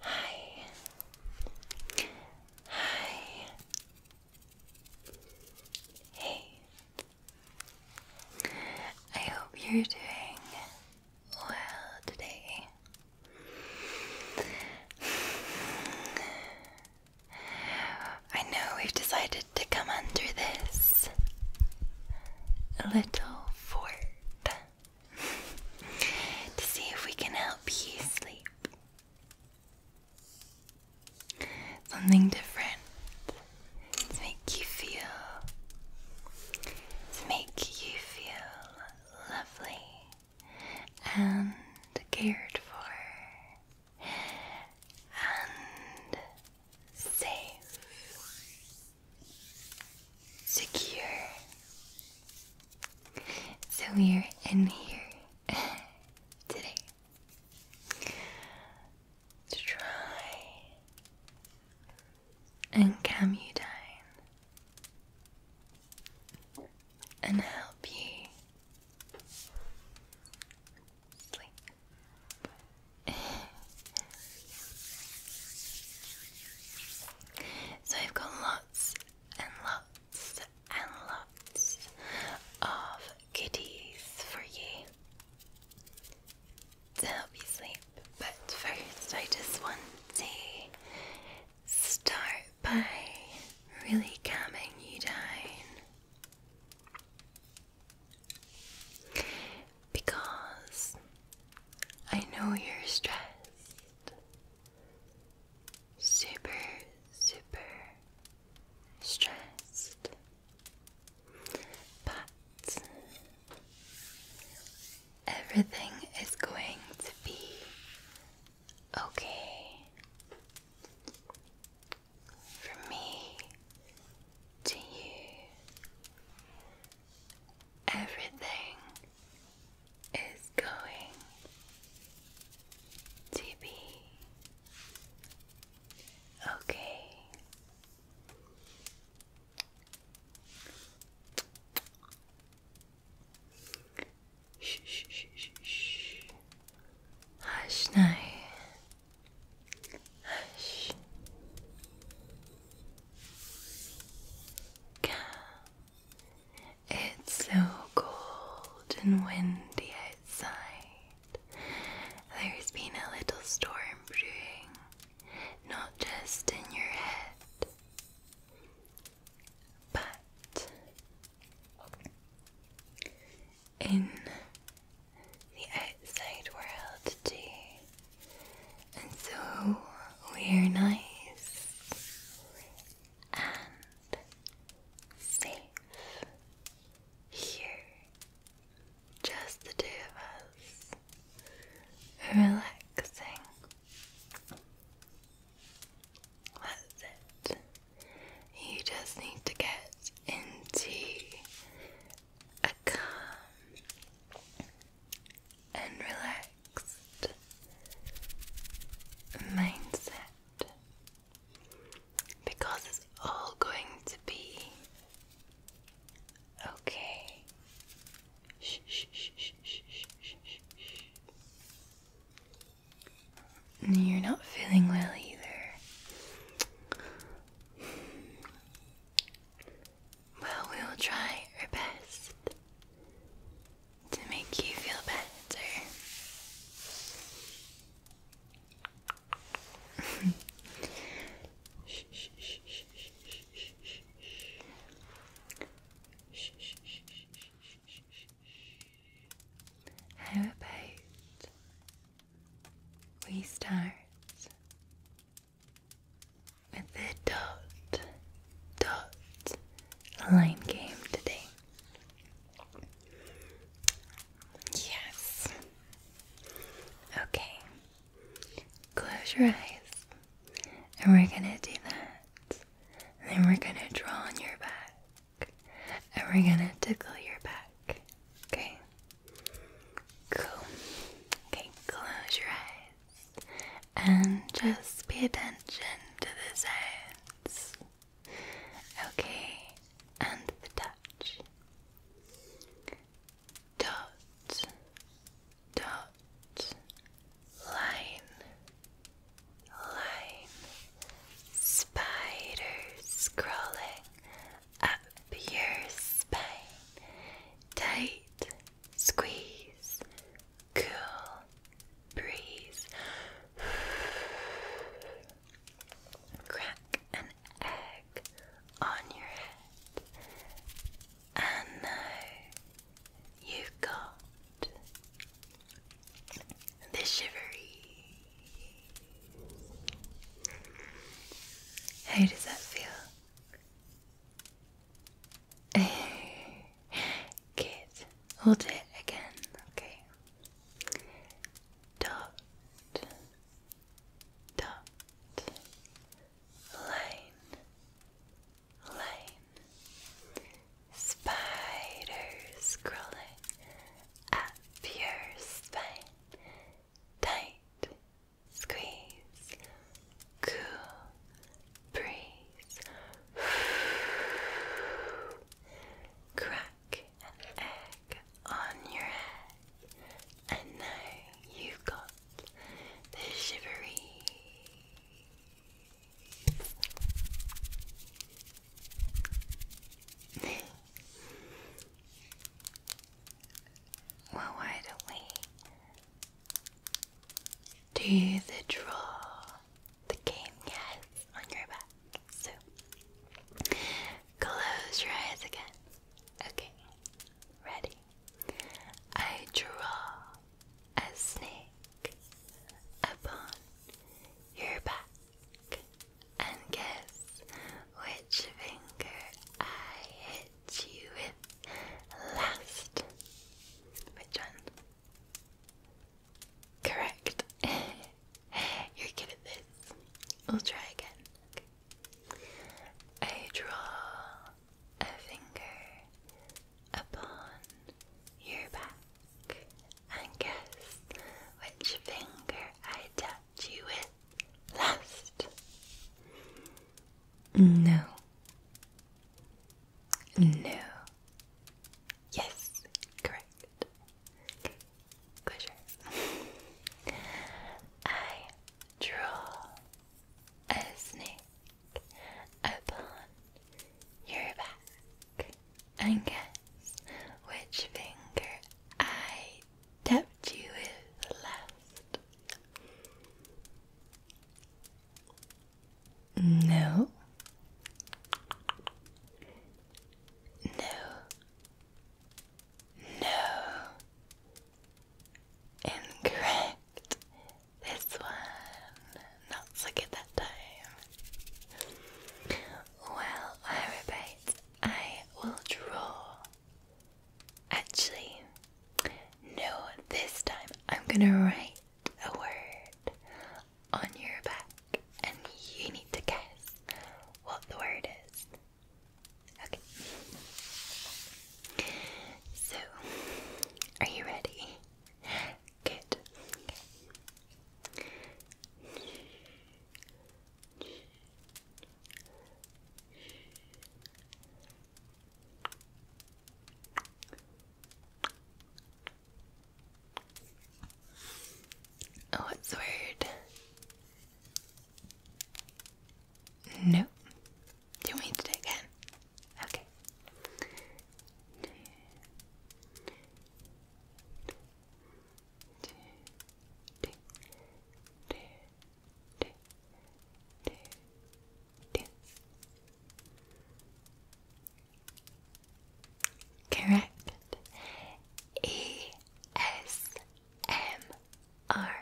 Hi. Hi. Hey. I hope you're doing well today. I know we've decided to come under this little fort to see if we can help you sleep. Something different to make you feel, to make you feel lovely and cared for and safe, secure. So we're in here today to try and calm you down and help you sleep so I've got lots and lots and lots of goodies for you to But first, I just want to start by really calming you down because I know you're stressed. Super, super stressed. But everything is going to be okay from me to you Everything is going to be okay. Shh, shh, shh, shh, Hush now. Hush. It's so cold and windy outside. There's been a little storm brewing, not just in your head, but in the outside world too. And so we're nice and safe here. Just the two of us relaxing. That's it. You just need to get into a calm and relaxed mindset because it's all going to be okay. You're not feeling well either. Well, we will try our best to make you feel better. How about we start with the dot dot line game today. Yes. Okay. Close your eyes. And we're gonna do that. And then we're gonna draw on your back. And we're gonna tickle your back. Okay? Cool. Okay, close your eyes and just pay attention to the sounds. Okay, and the touch. Dot, dot, line, line, spiders crawling up your spine. Tight squeeze, cool breeze. Crack an egg on your head. And now you've got the shivery. How does that feel? Good. We'll it again. Okay. Dot. Dot. Line. Line. Spiders crawling up your spine. Tight squeeze, cool, breeze, crack an egg on your head, and now you've got the shivery. Well, why don't we do the draw the game? Yes, on your back. So close your eyes again. Okay, ready. I draw a snake upon your back and guess which finger I hit you with last? Which one? Correct. You're good at this. We'll try again. I draw a finger upon your back and guess which finger I tap touch you with last? No. No. Yes, correct. Closure. I draw a snake upon your back and guess which finger I Debt you with last? No. No. No. Incorrect. This one. Not so good that time. Well, I I will draw Actually, no, this time I'm gonna write a word on your back and you need to guess what the word is. Okay. So, are you ready? Good. Okay. Oh, it's No. Do we do it again? Okay. Two. Two. Two. Correct. E S M R.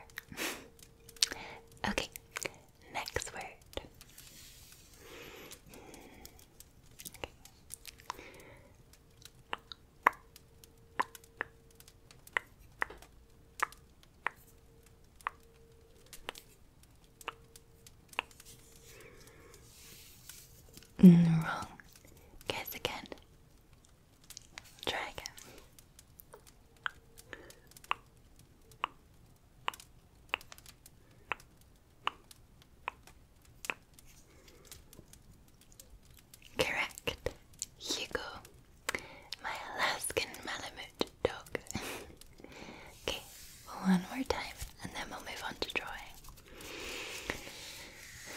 okay, next word. Mm, wrong. Guess again. Try again. Correct. Hugo. My Alaskan Malamute dog. okay, one more time and then we'll move on to drawing.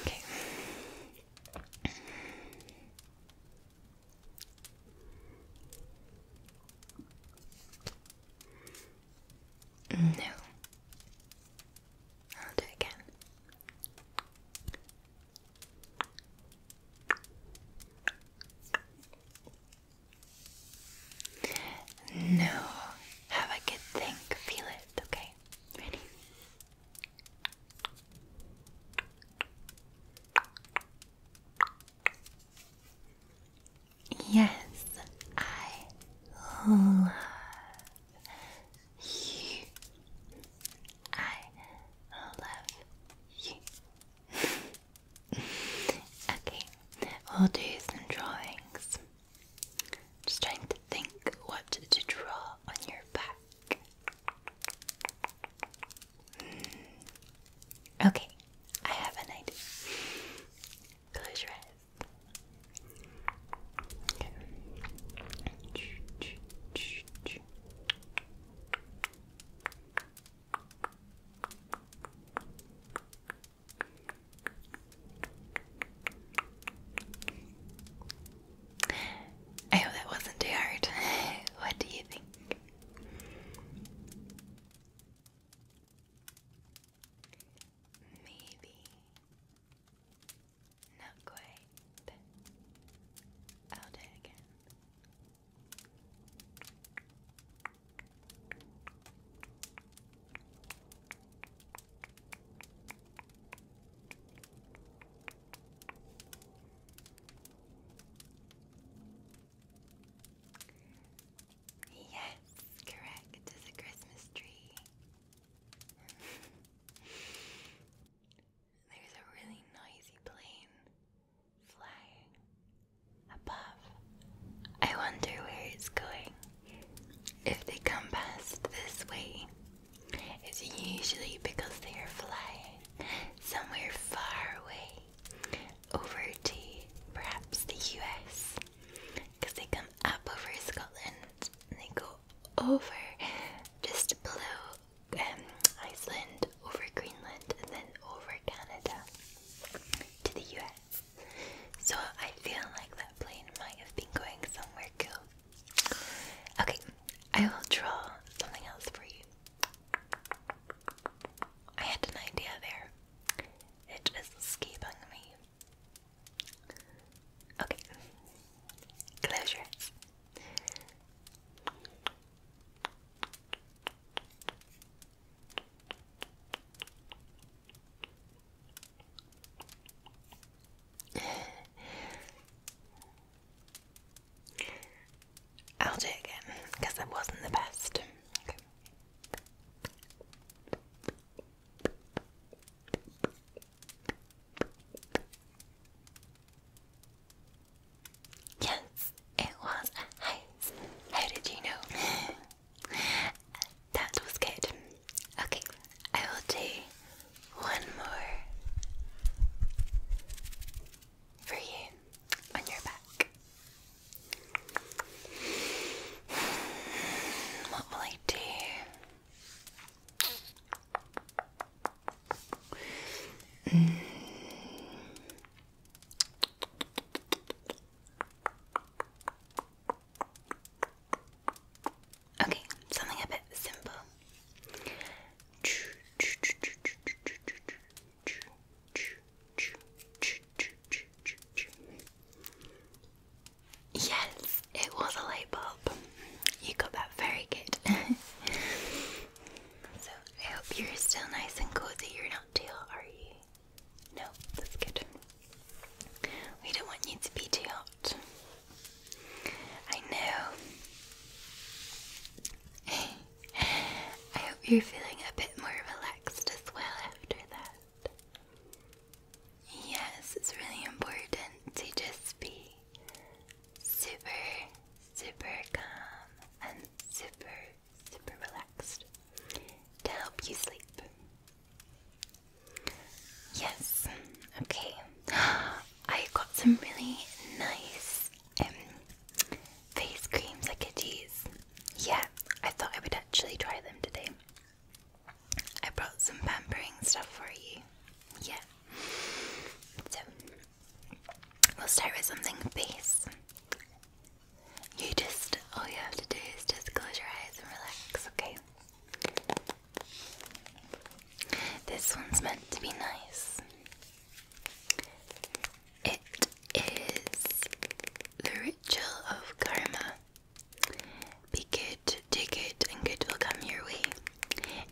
Okay. No. I'll do it again. No, have a good think, feel it, okay? Ready? Yes, I love you. I love you. okay, we'll do some drawings. Just trying to think what to draw on your back. Hmm. Okay, I have an idea. Close your eyes. I hope that wasn't too hard. what do you think? Maybe. Not quite right. again. Yes, correct. It's a Christmas tree. There's a really noisy plane flying above. I wonder where it's going. If they come past this way, it's usually because they are flying somewhere far away, over to perhaps the US, because they come up over Scotland and they go over just below um, Iceland, over Greenland, and then over Canada to the US. So I feel like that plane might have been going somewhere cool. Okay, I will draw something else for you. I had an idea there. It is escaping me. Okay, close your eyes. I'll do it again because that wasn't the best. Yes, it was a house. How did you know? that was good. Okay, I will do one more for you on your back. What will I do? Mm. Okay, something a bit simple. Yes, it was a light bulb. You got that very good. So I hope you're still nice and cozy. You're not too hot, are you? No, that's good. We don't want you to be too hot. I know. I hope you're feeling a bit more relaxed as well after that. Yes, it's really important to just be super, super calm and super, super relaxed to help you sleep. Yes, okay. I got some really nice um, face creams I could use. Yeah, I thought I would actually try them today. I brought some pampering stuff for you. Yeah. So, We'll start with something peace. You just, all you have to do is just close your eyes and relax, okay? This one's meant to be nice. It is the ritual of karma. Be good, do good, and good will come your way.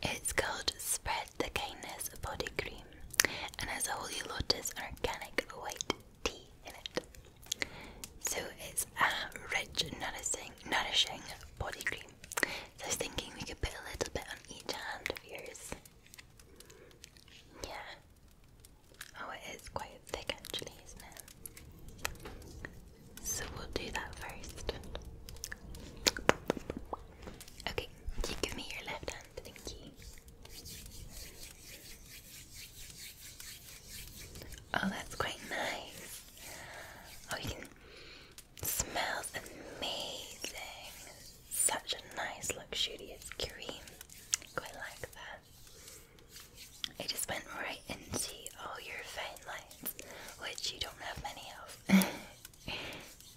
It's called spread the Kindness Body Cream and has a Holy Lotus Organic White Tea in it. So it's a um, rich, nourishing, nourishing body cream. So I was thinking we could put a little bit on each hand of yours. Yeah. Oh, it is quite thick actually, isn't it? So we'll do that first. Okay, you give me your left hand, thank Oh, that's quite nice. Oh, you Smells amazing. Such a nice, luxurious cream. Quite like that. It just went right into all your fine lines, which you don't have many of.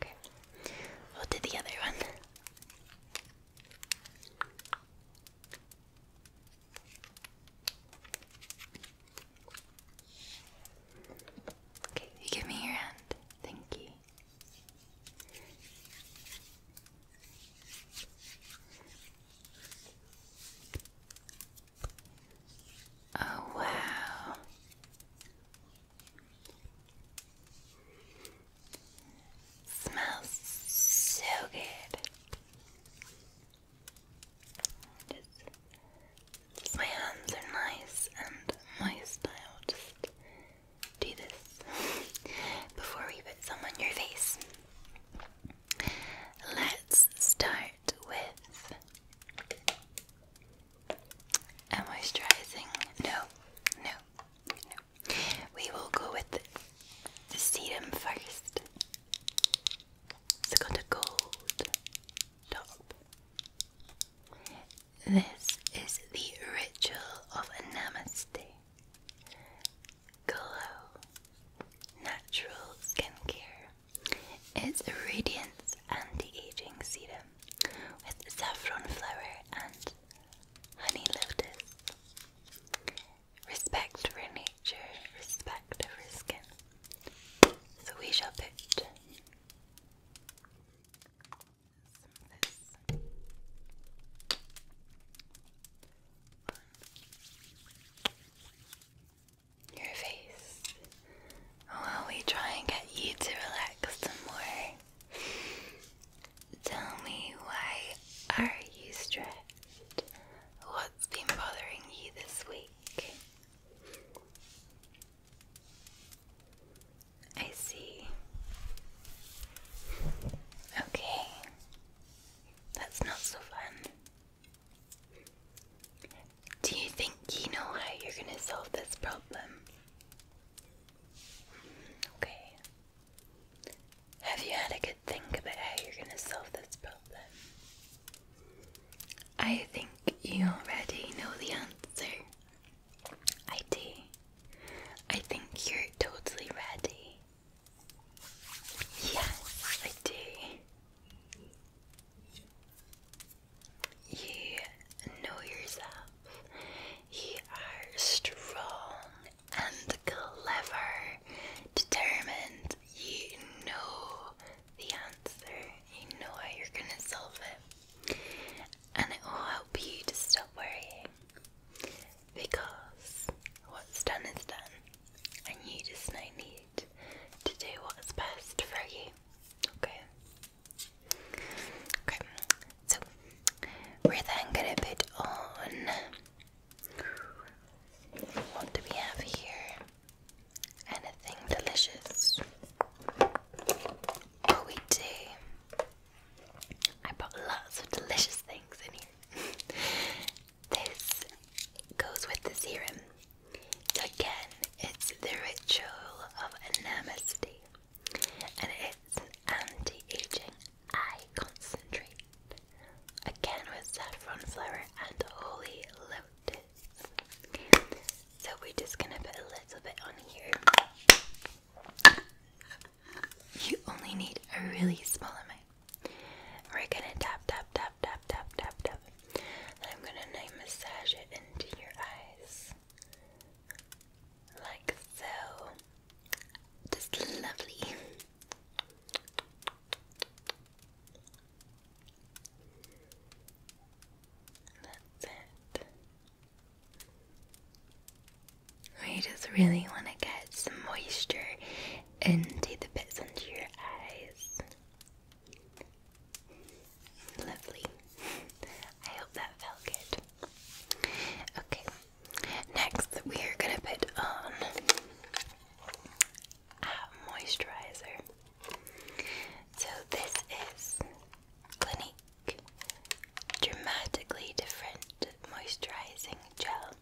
Okay. We'll do the other one. Okay, you give me your hand. Thank you. Oh, wow. Smells so good. my hands are nice and moist. i do this before we put some on your face. Let's start with moisturizing. No, no, no. We will go with the, the serum first. It's got gold top. This is the ritual of a namaste. Glow Natural Skincare. It's a radiance anti-aging serum with saffron flower and honey lotus. Respect for nature, respect for skin. So we shall put your face while we try and get you to relax some more. Tell me why are you stressed? What's been bothering you this week? I see. Okay. That's not so fun. Do you think you know how you're going to solve this problem? Okay. Have you had a good think about how you're going to solve this problem? I think you already know the answer. I do. I think you're totally ready. Yes, I do. You know yourself. You are strong and clever, determined. You know the answer. You know how you're going to solve it. And it will help you to stop worrying. Because what's done is done. And you just now need to do what's best for you. Okay. Okay. So we're then gonna put on what do we have here? Anything delicious? Oh, we do. I bought lots of delicious things in here. This goes with the serum. So again, it's the ritual of namaste, and it's anti-aging eye concentrate. Again with saffron flower and holy lotus. So we're just gonna put a little bit on here. You only need a really small amount. We're gonna tap, tap, tap tap, tap, tap, tap, I'm gonna massage it into your eyes. Like so. Just lovely. That's it. We just really want to get some moisture and take the bits under your eyes. Lovely. I hope that felt good. Okay, next we are going to put on a moisturizer. So, this is Clinique Dramatically Different Moisturizing Gel.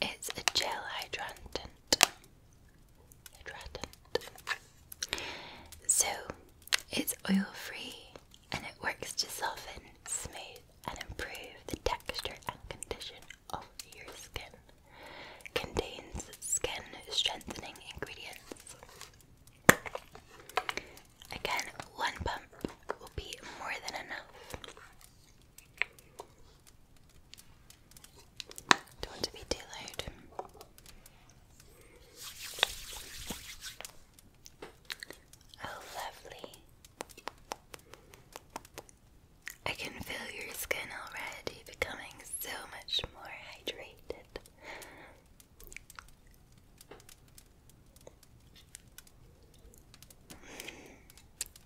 It's a gel hydrant. Hydrant. So it's oil free and it works to soften, smooth, and improve the texture and condition of your skin. Contains skin strengthening ingredients. Again, one pump will be more than enough. Don't to be too loud. Oh, lovely. I can feel your skin already becoming so much more hydrated.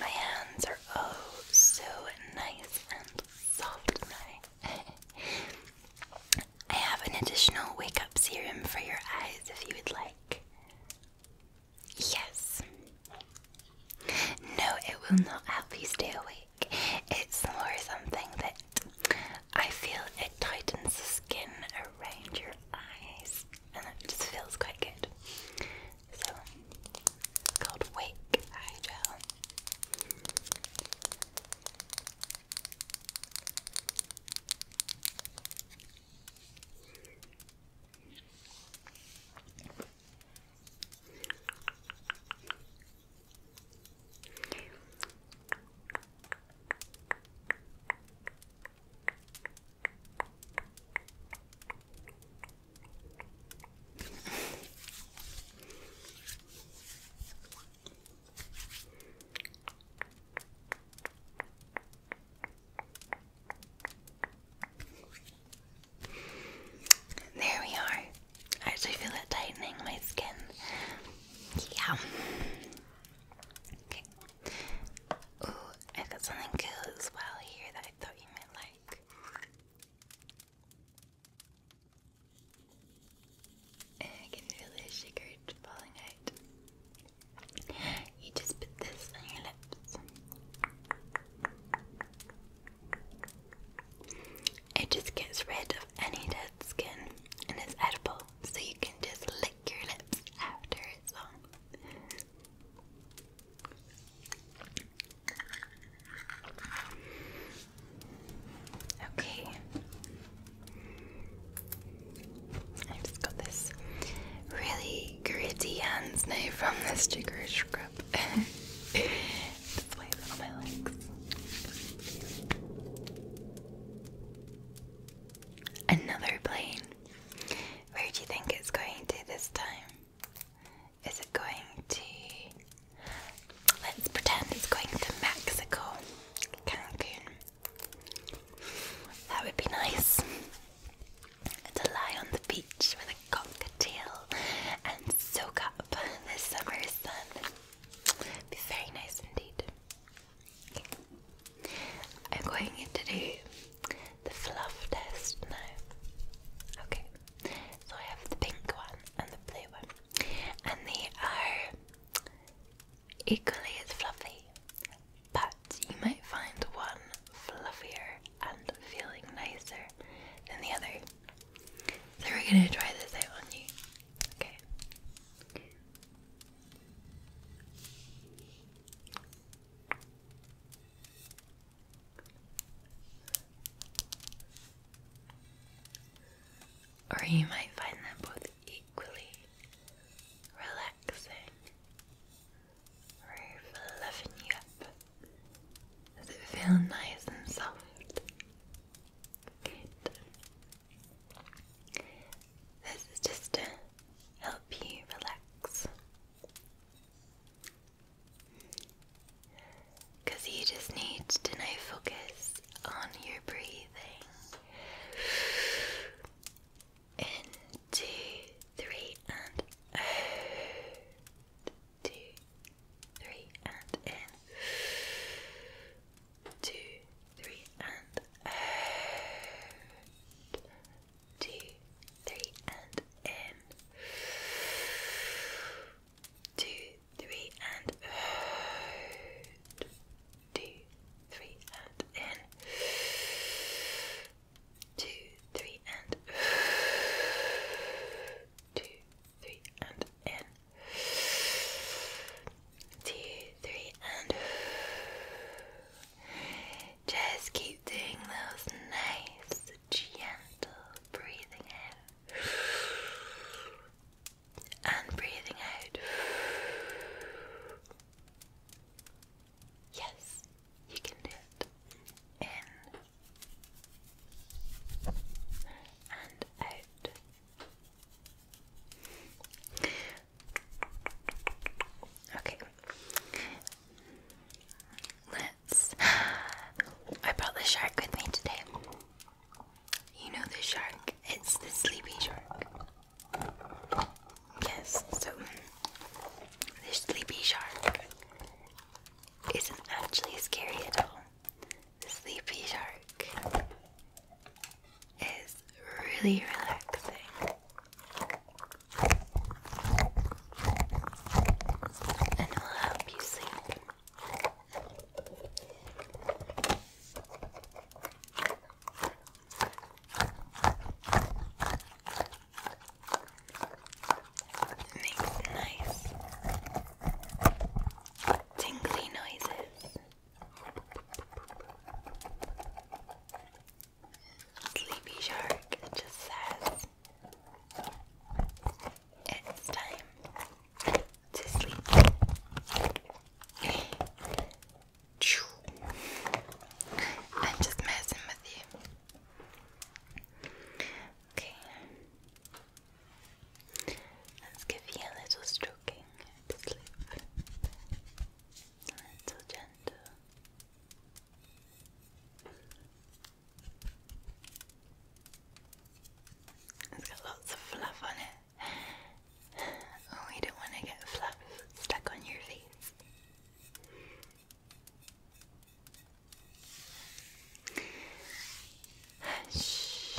My hands are oh so nice and soft I have an additional wake up serum for your eyes if you would like. Yes. No, it will not help you stay awake. It's more something that I feel it tightens the skin around your eyes, and it just feels quite good. So, it's called Wake Eye Gel. There we are. I actually feel it tightening my skin. Yeah. Okay. Ooh, I got something cool as well here that I thought you might like. I uh, can really sugar falling out. You just put this on your lips. It just gets rid of any dead skin and it's edible so you can just lick your lips after it's on. Okay. I just got this really gritty hands now from this jigger scrub. Just wipe it on my legs. Another plane. Where do you think it's going to this time? Is it going to. Let's pretend it's going to Mexico. Cancun. That would be nice. To lie on the beach with a cocktail and soak up the summer sun. Be very nice indeed. I'm going to do the fluff test now. Okay, so I have the pink one and the blue one, and they are equally as fluffy, but you might find one fluffier and feeling nicer than the other. So we're gonna try this out on you. Okay. Or you might find them both equally relaxing or fluffing you up. Does it feel nice and soft? This is just to help you relax. Because you just need to now focus on your breathing. In two, three, and out. Two, three, and in two, three, and out. Two, three, and in. Two, three, and out. Two, three, and in. Two, three, and two, three, and in two, three, and just keep doing those nice, gentle breathing in and breathing out. Yes, you can do it. In and out. Okay. Let's. I brought the shark with me today. You know the shark? It's the sleepy shark. Yes, so the sleepy shark isn't actually scary at all. The sleepy shark is really relaxing. And will help you sleep. makes nice tingly noises. Sleepy Shark It just says it's time to sleep. I'm just messing with you. Okay. Let's give you a little stroking to sleep so gentle. It's got lots of fluff on it. Oh, don't want to get fluff stuck on your face. Shh.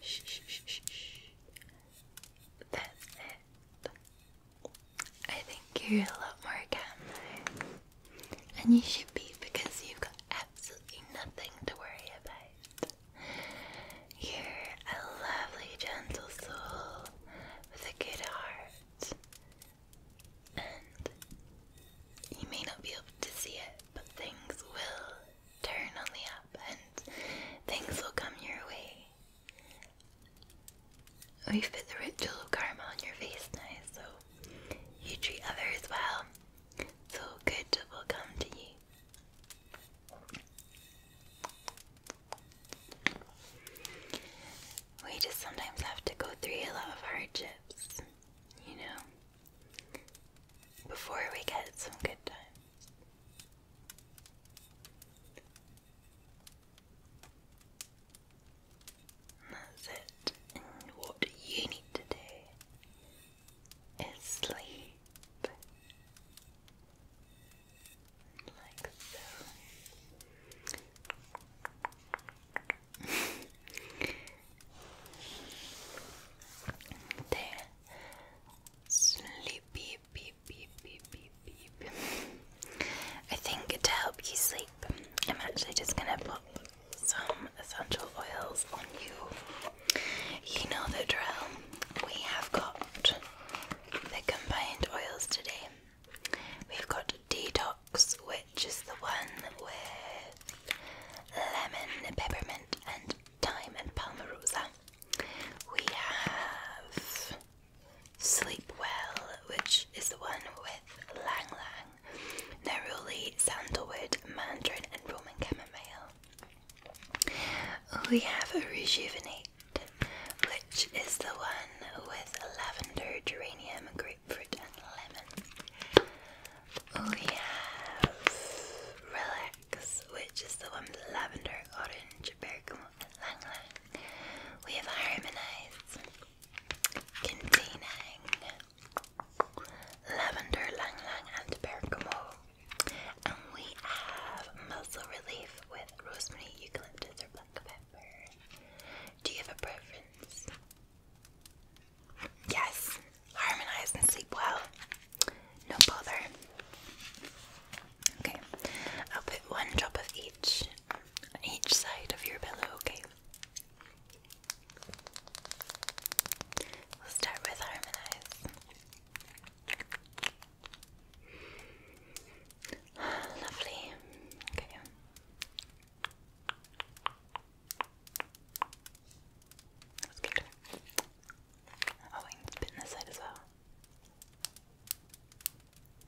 Shh, shh, shh, That's it. I think you're a lot more calm and you should be because you've got absolutely nothing to worry about. You're a lovely, gentle soul with a good heart, and you may not be able to see it, but things will turn on the up and things will come your way. We've oh, the ritual karma on your face now, so you treat others well, so good will come to you. We just sometimes have to go through a lot of hardships, you know, before we get some good times. That's it. what you need to do is sleep like so. there, sleepy, beautiful. I think to help you sleep, I'm actually just gonna put some essential oils on you. You know the drill. We have got the combined oils today. We've got detox, which is the one with lemon, peppermint, and thyme and palmarosa we have Sleep Well, which is the one with Lang Neroli, Sandalwood, Mandarin, and Roman Chamomile. We have Rejuvenate, which is the one with Lavender, Geranium, Grapefruit, and Lemon. We have Relax, which is the one with Lavender, Orange, Bergamot. Lang We have harmonized, containing lavender, Lang and bergamot. And we have muscle relief with rosemary, eucalyptus, or black pepper. Do you have a preference? Yes, harmonize and sleep well no bother. Okay, I'll put one drop of each on each side of your pillow, okay? We'll start with harmonize. Lovely. Okay. That's good. Oh, I can spit this side as well.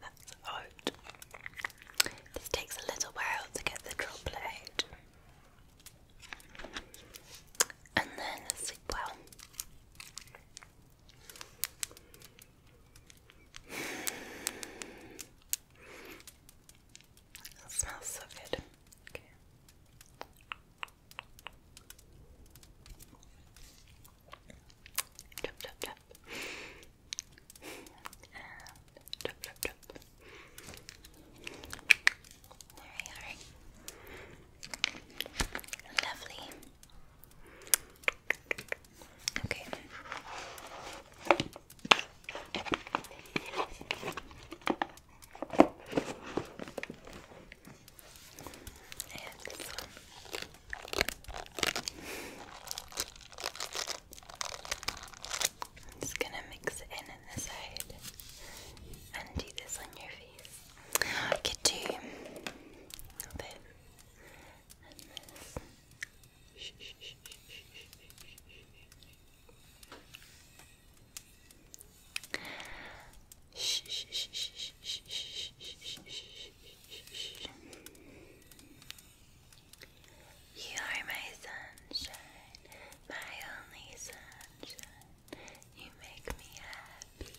That's This takes a little while to get the droplet And then sleep well. That smells so good. Drop, drop, drop. There we are. Lovely. Okay. I'm just gonna mix it in on the side and do this on your face. I could this. You are my sunshine, my only sunshine. You make me happy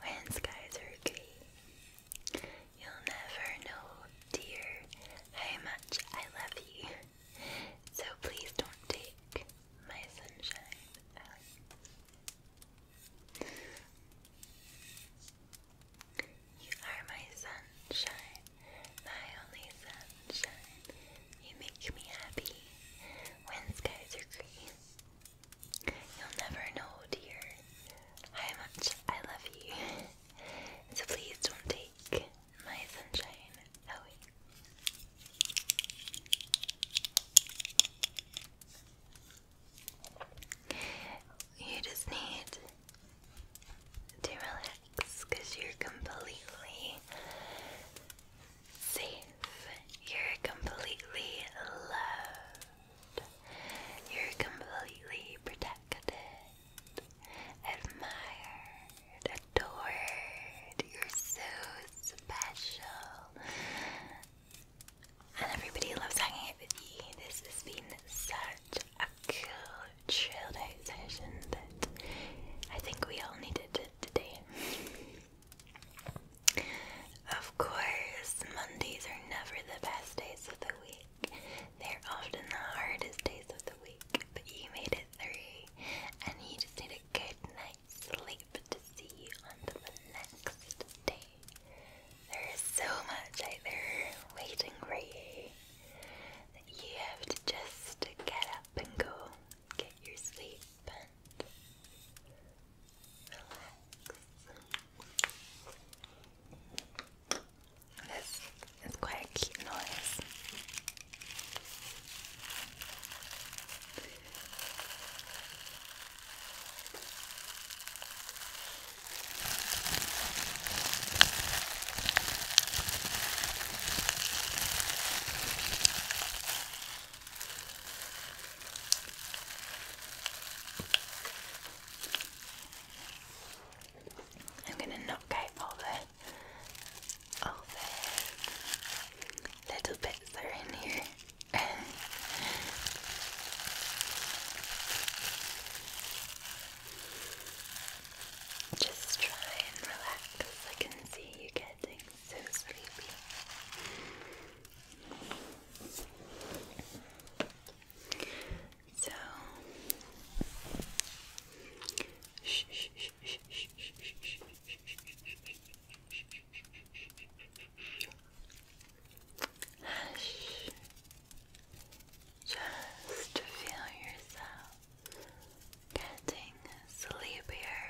when skies are gray. You'll never know, dear, how much I love you. So please don't take my sunshine you are my sunshine, my only sunshine. You make me happy when skies are green. You'll never know, dear, how much I love you. So please don't take my sunshine away. You just need to relax because you're completely safe. You're completely loved. You're completely protected, admired, adored. You're so special. And everybody loves hanging out with you. This has been such a cool, chilled out session that I think we all needed it today. Of course, Mondays are never the best days of the week. They're often the hardest days of the week, but you made it through and you just need a good night's sleep life to see on the next day. There is so much out there waiting for you that you have to just get up and go, get your sleep and relax. This is quite a cute noise. I'm going to knock out all the little bits that are in here. Just try and relax. I can see you getting so sleepy. So, Hush. Just feel yourself getting sleepier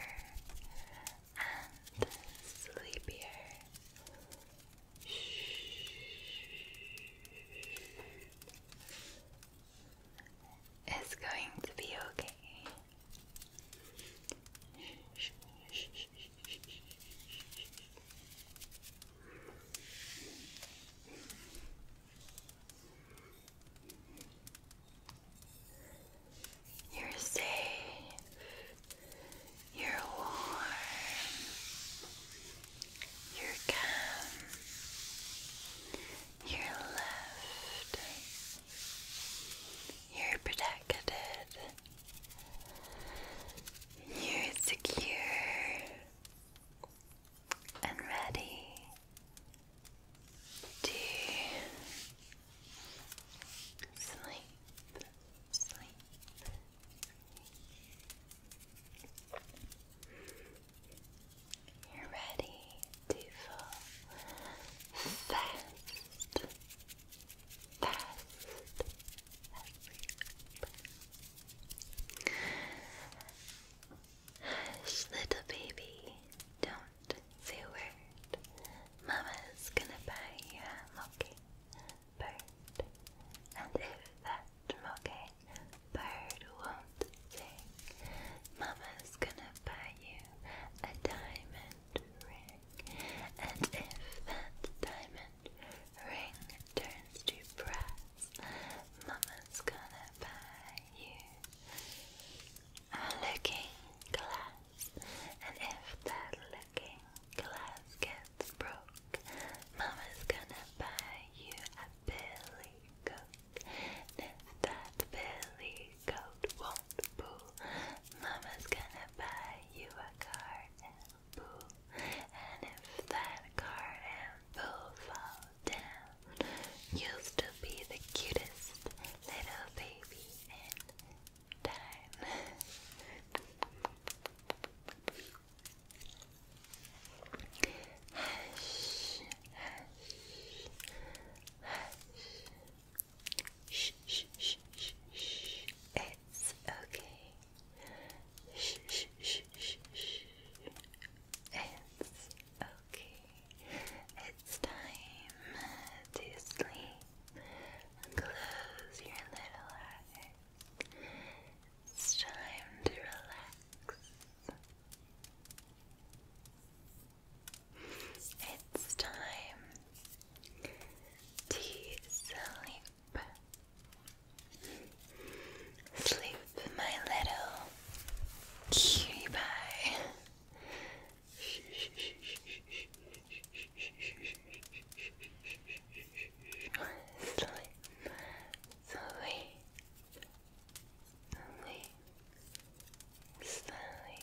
and sleepier. It's going to be okay. You're safe. You're warm. You're calm. You're loved. You're protected. You're secure and ready to sleep, sleep. You're ready to fall fast little baby, don't say a word. Mama's gonna buy you a monkey and if that monkey won't sing, Mama's gonna buy you a diamond and if that diamond ring turns to brass, Mama's gonna buy you a looking glass, and if that looking glass gets broke, Mama's gonna buy you a billy goat, if that billy coat won't boo. Mama's gonna buy you a car and boo. And if that car and boo fall down, you'll still be the cutest little baby in time. Hush, hush, hush, Shh, shh, shh, shh, It's okay. shh, shh, shh, shh. It's okay. It's time to sleep. Close your little eyes. It's time to relax. It's time to sleep. Sleep, my little cutie pie. Sleep, sleep. Slowly, slowly,